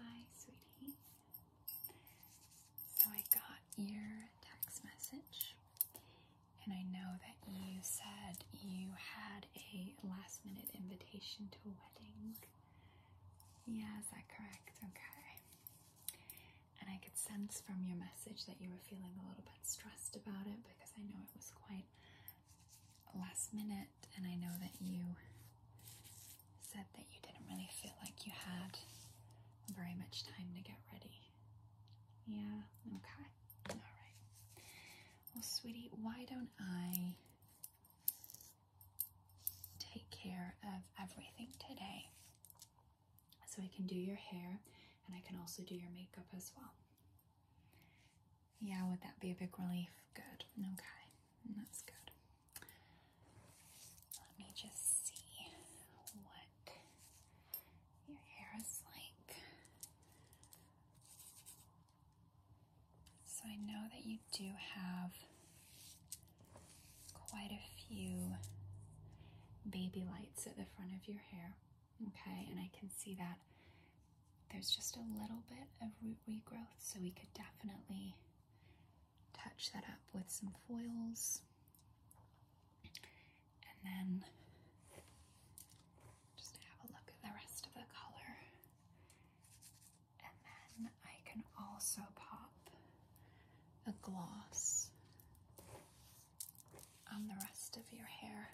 Hi, sweetie. So I got your text message, and I know that you said you had a last minute invitation to a wedding. Yeah, is that correct? Okay. And I could sense from your message that you were feeling a little bit stressed about it because I know it was quite last minute and I know that you said that you didn't really feel like you had very much time to get ready. Yeah, okay. Alright. Well, sweetie, why don't I take care of everything today? So I can do your hair and I can also do your makeup as well. Yeah, would that be a big relief? Good. Okay. That's good. Let me just see what your hair is like. So I know that you do have quite a few baby lights at the front of your hair. Okay, and I can see that there's just a little bit of root regrowth, so we could definitely touch that up with some foils and then just have a look at the rest of the color. And then I can also pop a gloss on the rest of your hair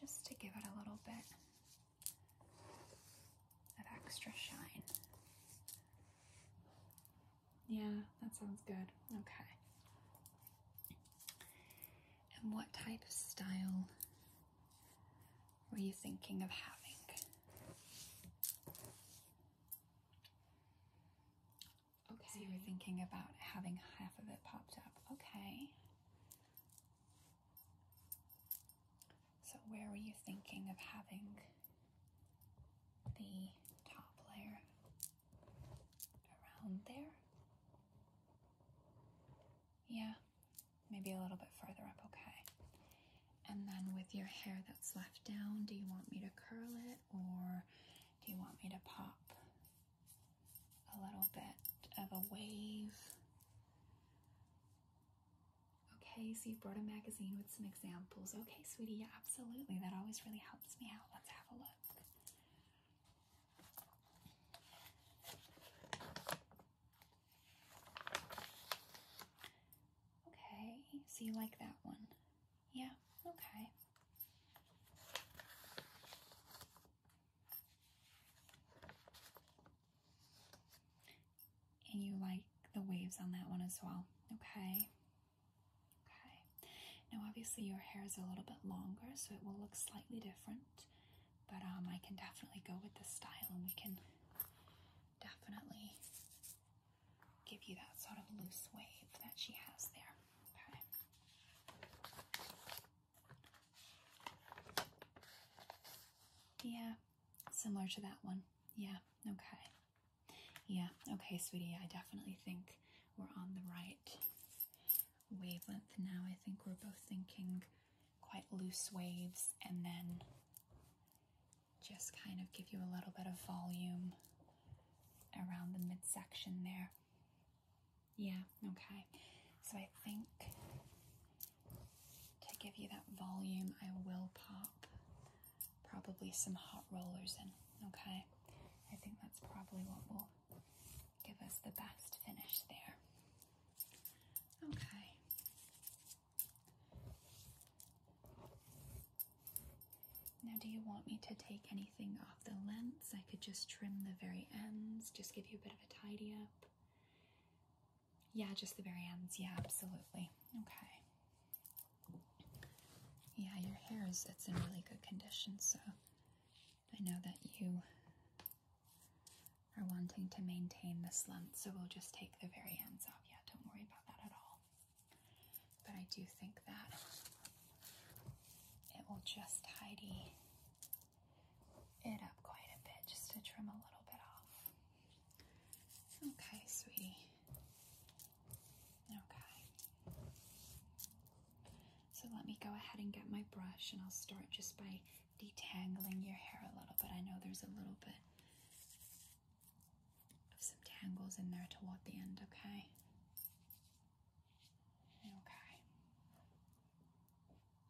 just to give it a little bit that extra shine. Yeah, that sounds good. Okay. And what type of style were you thinking of having? Okay. So you were thinking about having half of it popped up. Okay. So, where were you thinking of having the top layer? Around there? Yeah, maybe a little bit further up, okay. And then with your hair that's left down, do you want me to curl it or do you want me to pop a little bit of a wave? Okay, so you brought a magazine with some examples. Okay, sweetie, yeah, absolutely. That always really helps me out. Let's have a look. Okay, so you like that one? Yeah, okay and you like the waves on that one as well. Okay. Okay. Now, obviously, your hair is a little bit longer, so it will look slightly different. But um, I can definitely go with this style, and we can definitely give you that sort of loose wave that she has there. Okay. Yeah, Similar to that one. Yeah, okay. Yeah, okay, sweetie. I definitely think we're on the right wavelength now. I think we're both thinking quite loose waves and then just kind of give you a little bit of volume around the midsection there. Yeah, okay. So I think to give you that volume, I will pop probably some hot rollers in, okay? I think that's probably what will give us the best finish there. Okay. Now, do you want me to take anything off the lens? I could just trim the very ends, just give you a bit of a tidy up. Yeah, just the very ends. Yeah, absolutely. Okay. Yeah, your hair is it's in really good condition, so I know that you are wanting to maintain this length, so we'll just take the very ends off. Yeah, don't worry about that at all. But I do think that it will just tidy it up quite a bit just to trim a little bit off. Okay, sweetie. Okay. So let me go ahead and get my brush, and I'll start just by detangling your hair a little bit. I know there's a little bit of some tangles in there toward the end, okay? Okay.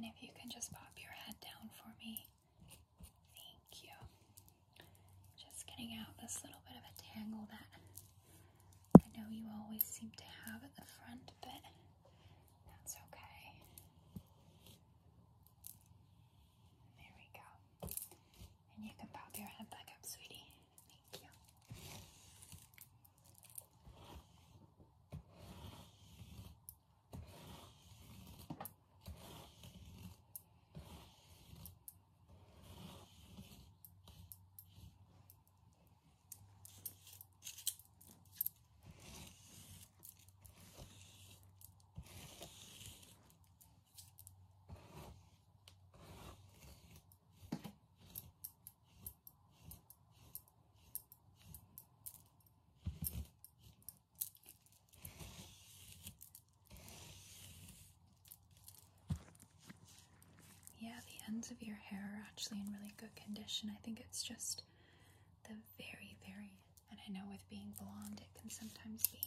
And if you can just pop your head down for me, thank you. Just getting out this little bit of a tangle that I know you always seem to have at the front, but that's okay. There we go. And you can pop your head back up, sweetie. Thank you. Yeah, the ends of your hair are actually in really good condition. I think it's just the very, very, and I know with being blonde, it can sometimes be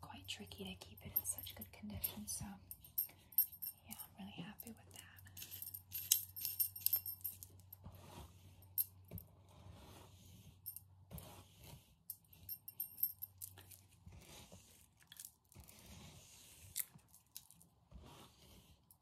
quite tricky to keep it in such good condition. So, yeah, I'm really happy with that.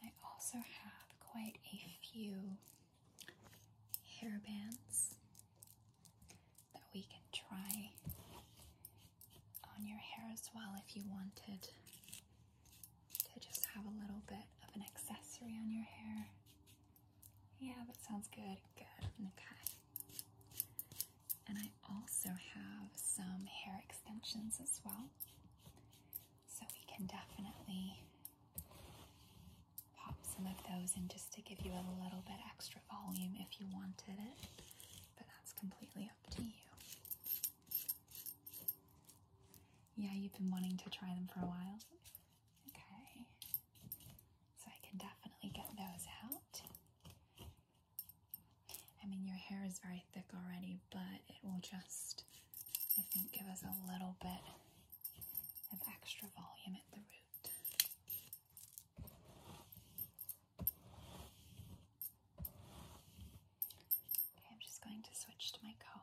I also have quite a few hairbands that we can try on your hair as well if you wanted to just have a little bit of an accessory on your hair yeah, that sounds good. Good. Okay. And I also have some hair extensions as well. So we can definitely pop some of those in just to give you a little bit extra volume if you wanted it. But that's completely up to you. Yeah, you've been wanting to try them for a while. Okay. So I can definitely get those out. I mean, your hair is very thick already, but it will just, I think, give us a little bit of extra volume at the root. Okay, I'm just going to switch to my comb.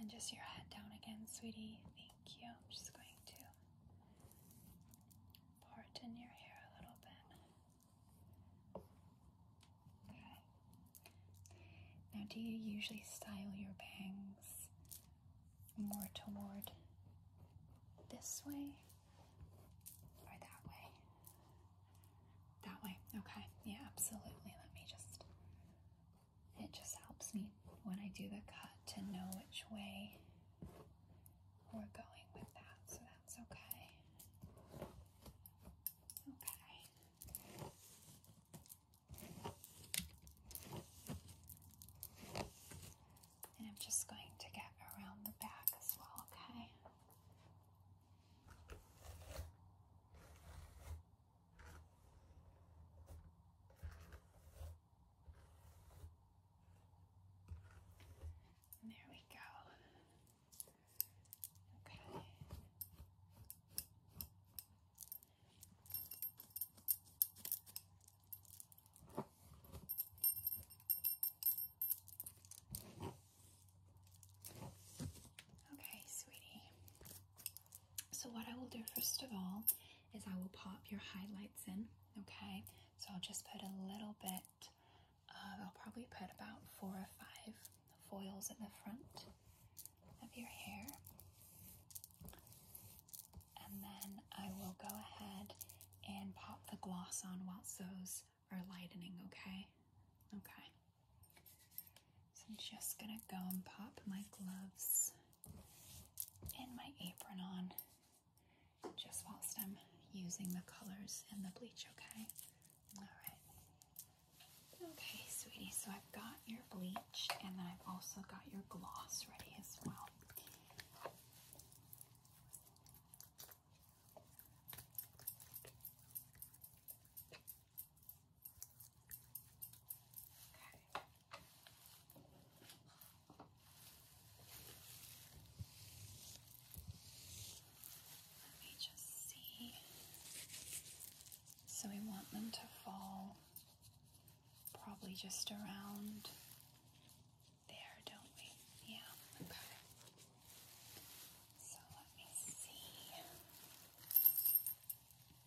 And just your head down again, sweetie. Thank you. I'm just going to part in your hair a little bit. Okay. Now, do you usually style your bangs more toward this way or that way? That way. Okay. Yeah, absolutely. Let me just it just helps me when I do the cut to know which way we're going with that, so that's okay. Okay. And I'm just going to get around the back as well, okay? And there we go. Okay. Okay, sweetie. So, what I will do first of all is I will pop your highlights in, okay? So, I'll just put a little bit, uh, I'll probably put about four or five foils in the front of your hair. And then I will go ahead and pop the gloss on whilst those are lightening, okay? Okay. So, I'm just gonna go and pop my gloves and my apron on just whilst I'm using the colors and the bleach, okay? Alright. Okay, sweetie, so I've got your bleach and then I've also got your gloss ready as well. Let me just see. So we want them to fall probably just around there, don't we? Yeah, okay. So let me see.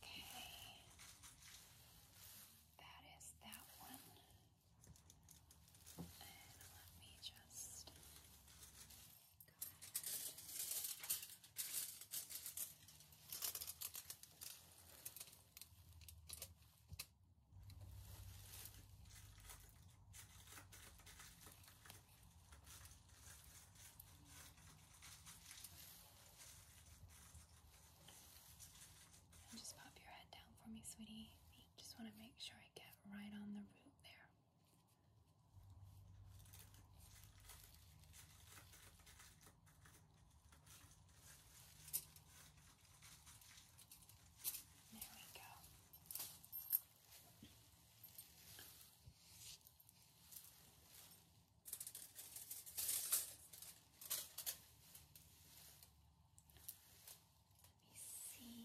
Okay. That is that one. And let me just go ahead just pop your head down for me, sweetie. Just want to make sure I get right on the root there. There we go. Let me see.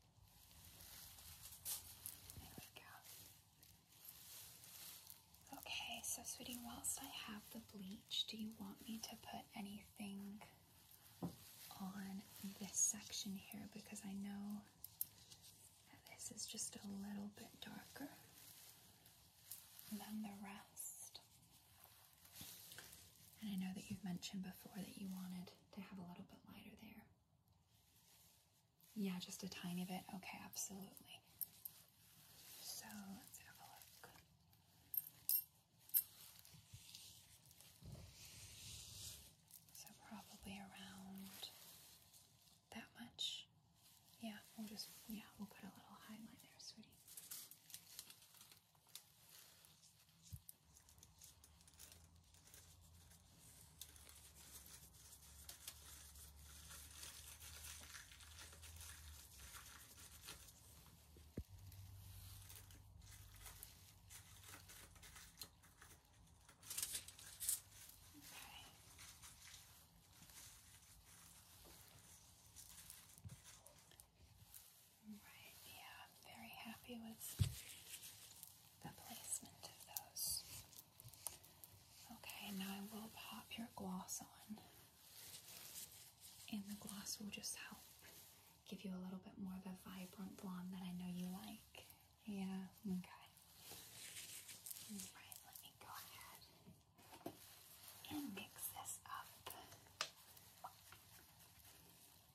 Okay, so sweetie, whilst I have the bleach, do you want me to put anything on this section here? Because I know that this is just a little bit darker than the rest. And I know that you've mentioned before that you wanted to have a little bit lighter there. Yeah, just a tiny bit. Okay, absolutely. So let's have a look. So probably around that much. Yeah, we'll just, yeah, we'll put a little highlight there, sweetie. Right, yeah. I'm very happy with the placement of those. Okay, now I will pop your gloss on, and the gloss will just help give you a little bit more of a vibrant blonde that I know you like. Yeah, okay. Alright, let me go ahead and mix this up.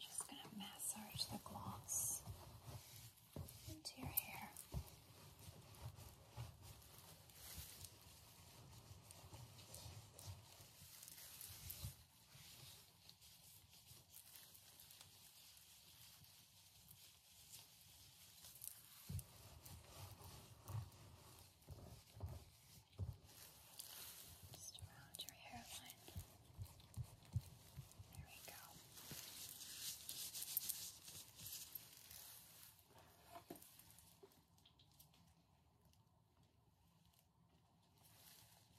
Just going to massage the gloss into your hair. Just around your hairline. There we go. Good.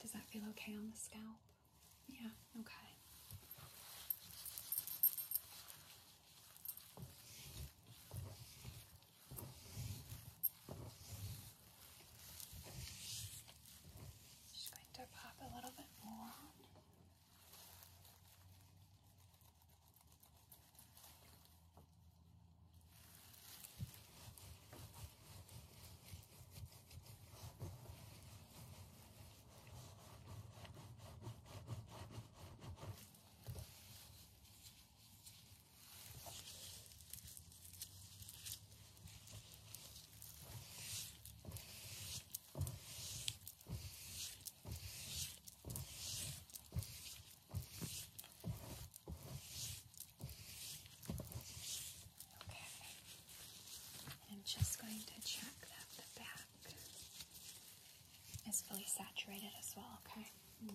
Does that feel okay on the scalp? Yeah, okay. Just going to pop a little bit more on. Okay. I'm just going to check that the back black is fully saturated as well, okay? Yeah,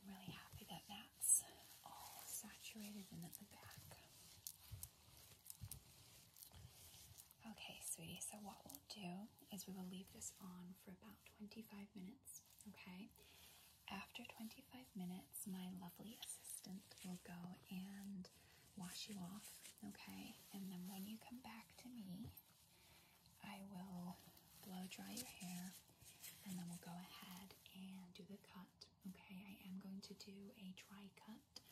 I'm really happy that that's all saturated in at the back. Okay, sweetie, so what we'll do is we will leave this on for about 25 minutes, okay? After 25 minutes, my lovely assistant will go and wash you off, okay? And then when you come back to me, I will blow dry your hair and then we'll go ahead and do the cut, okay? I am going to do a dry cut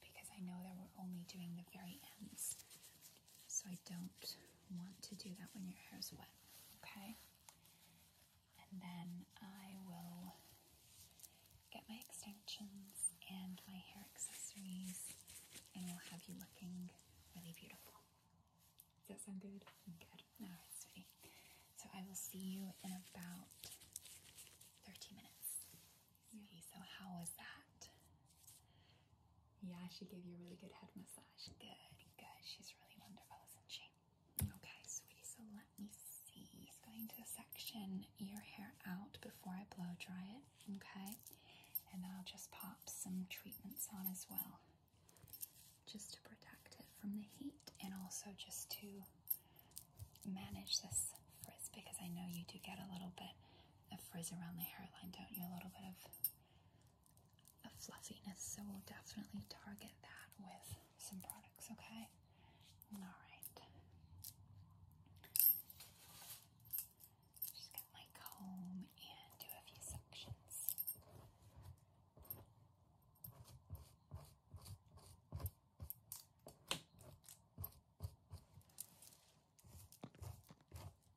because I know that we're only doing the very ends so I don't want to do that when your hair is wet, okay? And then I will get my extensions and my hair accessories and we'll have you looking really beautiful. Does that sound good? Good. All right, sweetie. So I will see you in about 30 minutes. Yeah. so how was that? Yeah, she gave you a really good head massage. Good, good. She's really wonderful, isn't she? Okay, sweetie, so let me see. He's going to section your hair out before I blow dry it, okay? And then I'll just pop some treatments on as well, just to protect it from the heat and also just to manage this frizz because I know you do get a little bit a frizz around the hairline, don't you? A little bit of a fluffiness. So we'll definitely target that with some products, okay? All right. Just get my comb and do a few sections.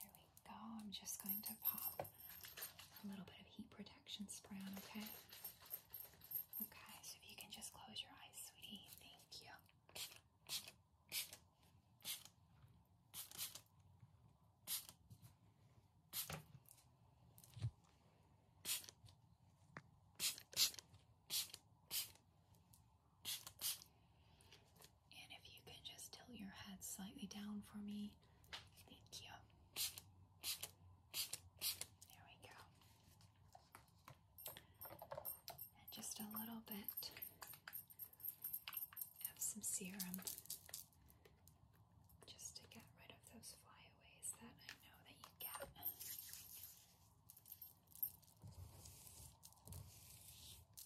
Here we go. I'm just going to pop a little bit of heat protection spray on, okay? Okay, so if you can just close your eyes, sweetie. Thank you. And if you can just tilt your head slightly down for me, thank you. There we go. And just a little bit of some serum just to get rid of those flyaways that I know that you get.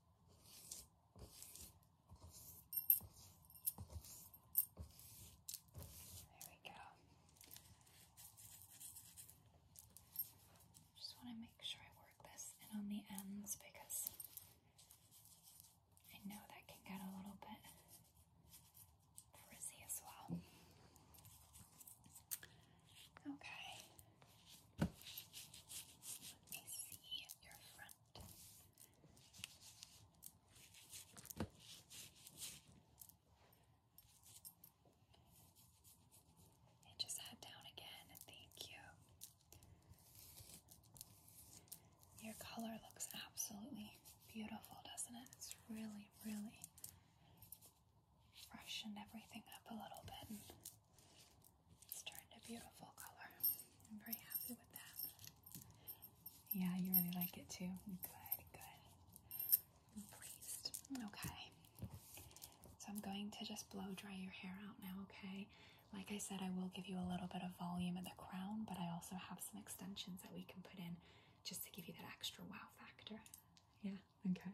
There we go. Just want to make sure I work this in on the ends because I know that can get a little bit frizzy as well. Okay. Let me see your front. And just head down again. Thank you. Your color looks absolutely beautiful, doesn't it? It's really, really Freshen everything up a little bit. It's turned a beautiful color. I'm very happy with that. Yeah, you really like it too. Good, good. I'm pleased. Okay. So I'm going to just blow dry your hair out now, okay? Like I said, I will give you a little bit of volume at the crown, but I also have some extensions that we can put in just to give you that extra wow factor. Yeah, okay.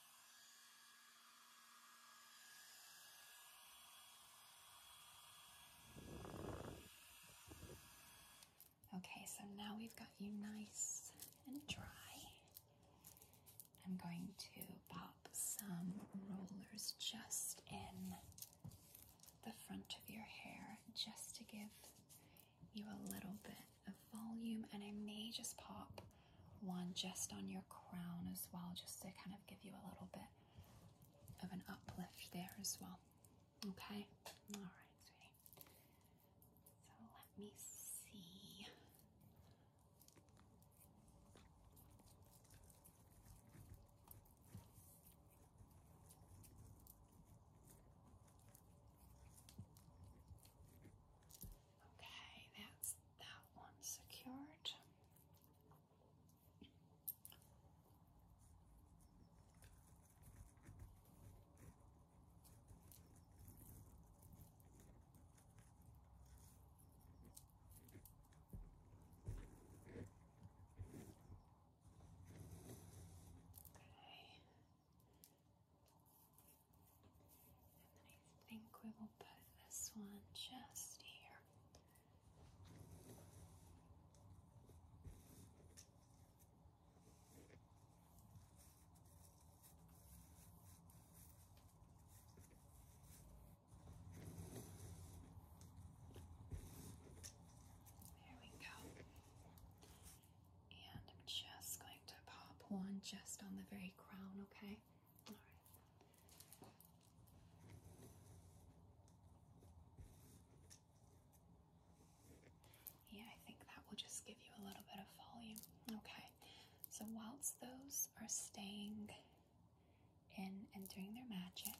Okay, so now we've got you nice and dry. I'm going to pop some rollers just in the front of your hair just to give you a little bit a volume, and I may just pop one just on your crown as well, just to kind of give you a little bit of an uplift there as well. Okay? All right, sweetie. So let me see. Okay, that's that one secured. Okay. And then I think we will put this one just here. There we go. And I'm just going to pop one just on the very crown, okay? Yeah, I think that will just give you a little bit of volume. Okay, so whilst those are staying in and doing their magic,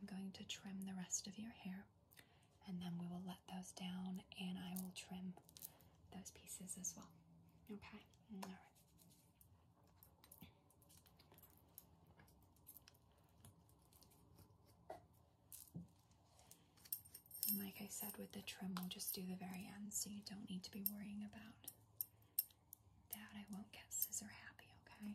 I'm going to trim the rest of your hair and then we will let those down and I will trim those pieces as well. Okay? All right. like I said, with the trim, we'll just do the very end so you don't need to be worrying about that. I won't get scissor happy, okay?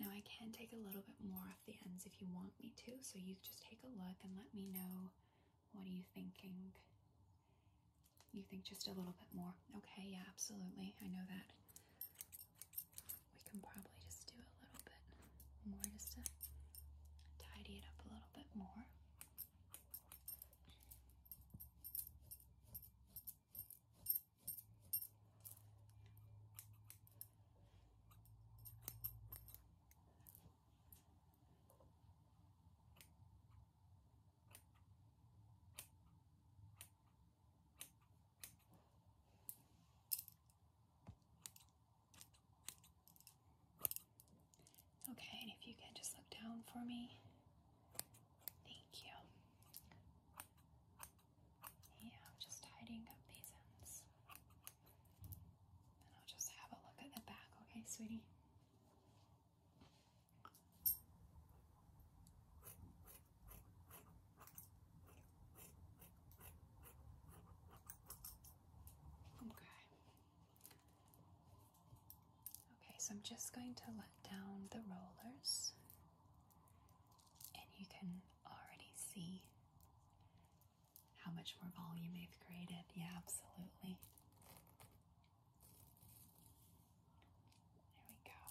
Now I can take a little bit more off the ends if you want me to, so you just take a look and let me know what are you thinking. You think just a little bit more. Okay, yeah, absolutely. I know that. We can probably just do a little more just to tidy it up a little bit more. Okay, if you can just look down for me. Thank you. Yeah, I'm just tidying up these ends. And I'll just have a look at the back, okay, sweetie? Okay. Okay, so I'm just going to let down the rollers, and you can already see how much more volume they've created. Yeah, absolutely. There we go.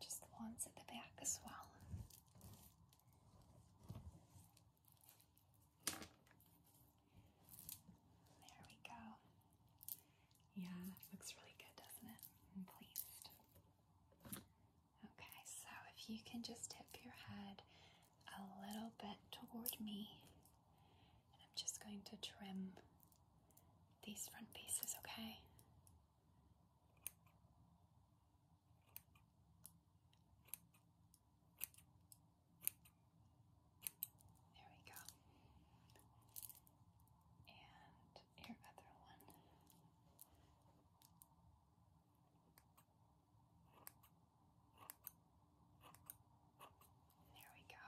Just the at the back as well. There we go. Yeah, looks really good, doesn't it? I'm pleased. Okay, so if you can just tip your head a little bit toward me, I'm just going to trim these front pieces, okay? There we go. And your other one. There we go.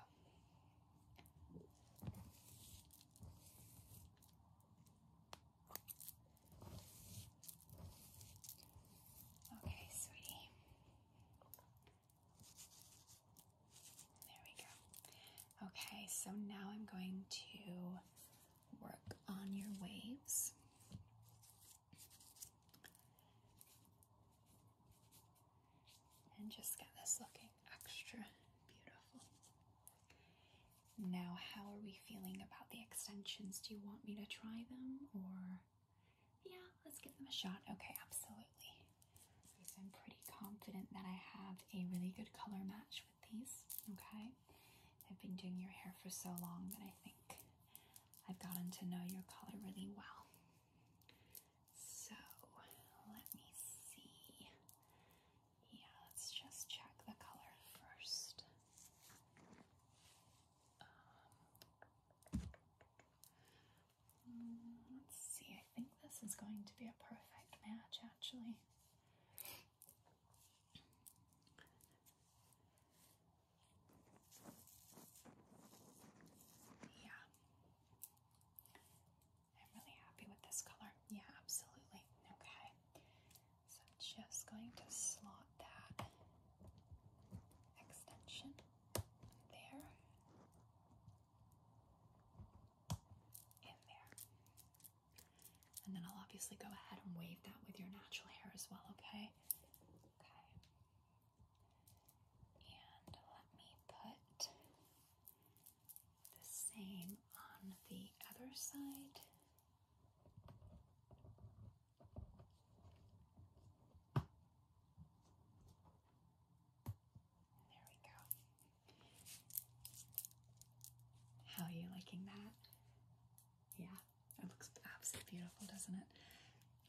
Okay, sweetie. There we go. Okay, so now I'm going to work on your waves. And just get this looking extra beautiful. Now, how are we feeling about the extensions? Do you want me to try them or? Yeah, let's give them a shot. Okay, absolutely. I'm pretty confident that I have a really good color match with these. Okay, I've been doing your hair for so long that I think I've gotten to know your color really well. So let me see. Yeah, let's just check the color first. Um, let's see, I think this is going to be a perfect match actually. Yeah. I'm really happy with this color. Yeah, absolutely. Okay. So I'm just going to slot that extension there in there. And then I'll obviously go ahead and wave that with your natural hair as well, okay? Okay. And let me put the same on the other side. There we go. How are you liking that? Yeah, it looks absolutely beautiful, doesn't it?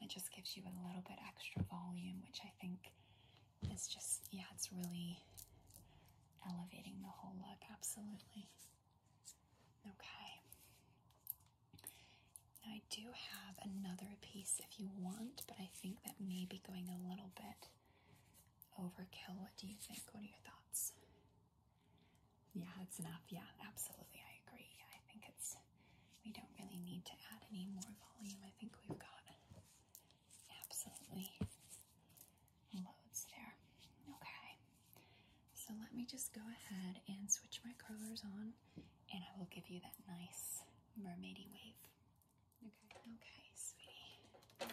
It just gives you a little bit extra volume, which I think is just, yeah, it's really elevating the whole look, absolutely. Okay. Now I do have another piece if you want, but I think that may be going a little bit overkill. What do you think? What are your thoughts? Yeah, that's enough. Yeah, absolutely. I agree. I think it's we don't really need to add any more volume. I think we've got absolutely loads there. Okay. So let me just go ahead and switch my curlers on and I will give you that nice mermaidy wave. Okay. Okay, sweetie.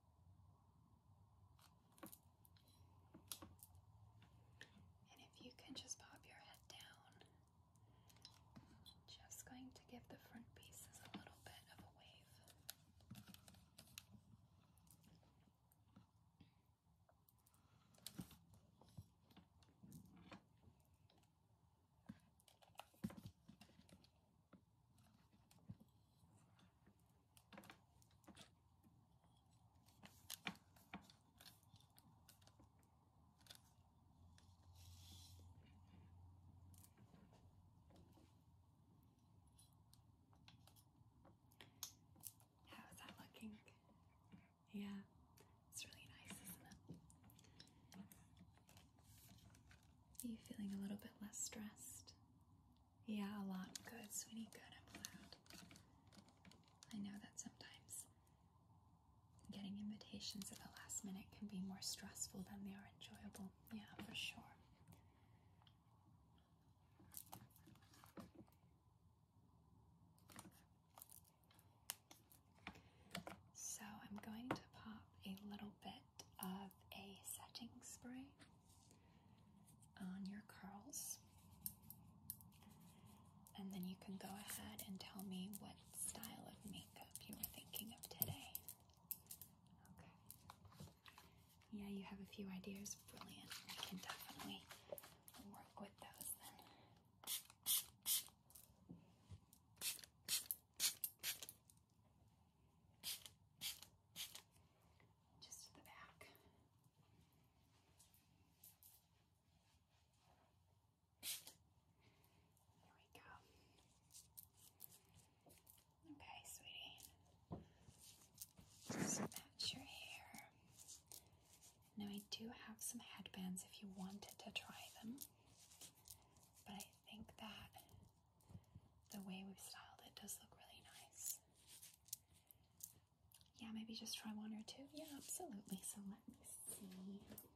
And if you can just pop your head down, just going to give the front pieces a little bit of a wave. How is that looking? Yeah, it's really nice, isn't it? Are you feeling a little bit less stressed? Yeah, a lot. Good, sweetie. Good. I'm allowed. I know that sometimes getting invitations at the last minute can be more stressful than they are enjoyable. Yeah, for sure. So I'm going to pop a little bit of a setting spray on your curls. And then you can go ahead and tell me what style of makeup you were thinking of today. Okay. Yeah, you have a few ideas. Brilliant. We can definitely work with those then. Just the back. There we go. Okay, sweetie. Just match your hair. Now I do have some headbands if you wanted to try them. But I think that the way we've styled it does look really nice. Yeah, maybe just try one or two. Yeah, absolutely. So let me see what I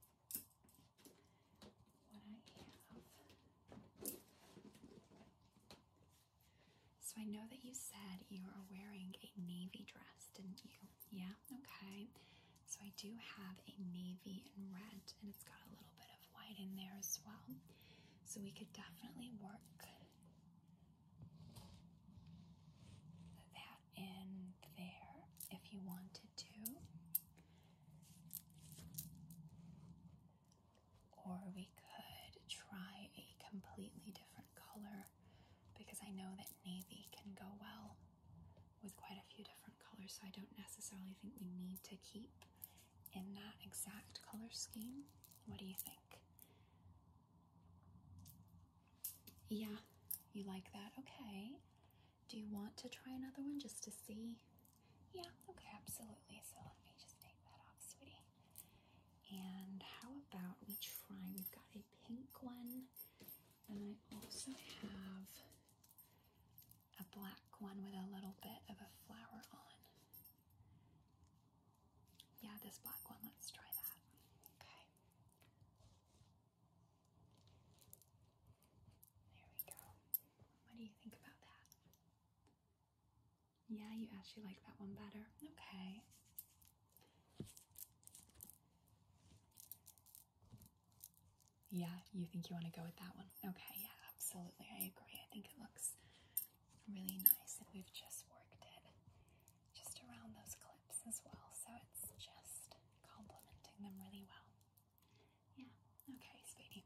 have. So I know that you said you are wearing a navy dress, didn't you? Yeah, okay. So I do have a navy and red, and it's got a little bit of white in there as well. So we could definitely work that in there if you wanted to. Or we could try a completely different color because I know that navy can go well with quite a few different colors, so I don't necessarily think we need to keep in that exact color scheme. What do you think? Yeah, you like that? Okay. Do you want to try another one just to see? Yeah, okay, absolutely. So let me just take that off, sweetie. And how about we try? We've got a pink one, and I also have a black one with a little bit of a flower on. Yeah, this black one, let's try that. Okay. There we go. What do you think about that? Yeah, you actually like that one better. Okay. Yeah, you think you want to go with that one? Okay, yeah, absolutely. I agree. I think it looks really nice, and we've just worked it just around those clips as well, so it's just complementing them really well. Yeah, okay, sweetie.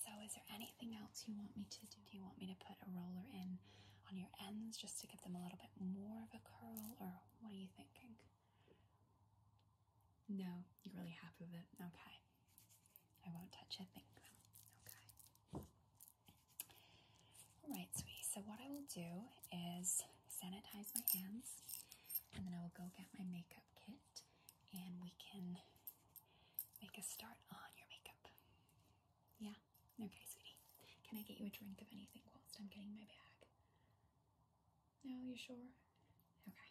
So, is there anything else you want me to do? Do you want me to put a roller in on your ends just to give them a little bit more of a curl, or what are you thinking? No, you're really happy with it. Okay. I won't touch a thing, okay? All right, sweetie, so what I will do is sanitize my hands and then I will go get my makeup kit and we can make a start on your makeup. Yeah? Okay, sweetie. Can I get you a drink of anything whilst I'm getting my bag? No, you sure? Okay.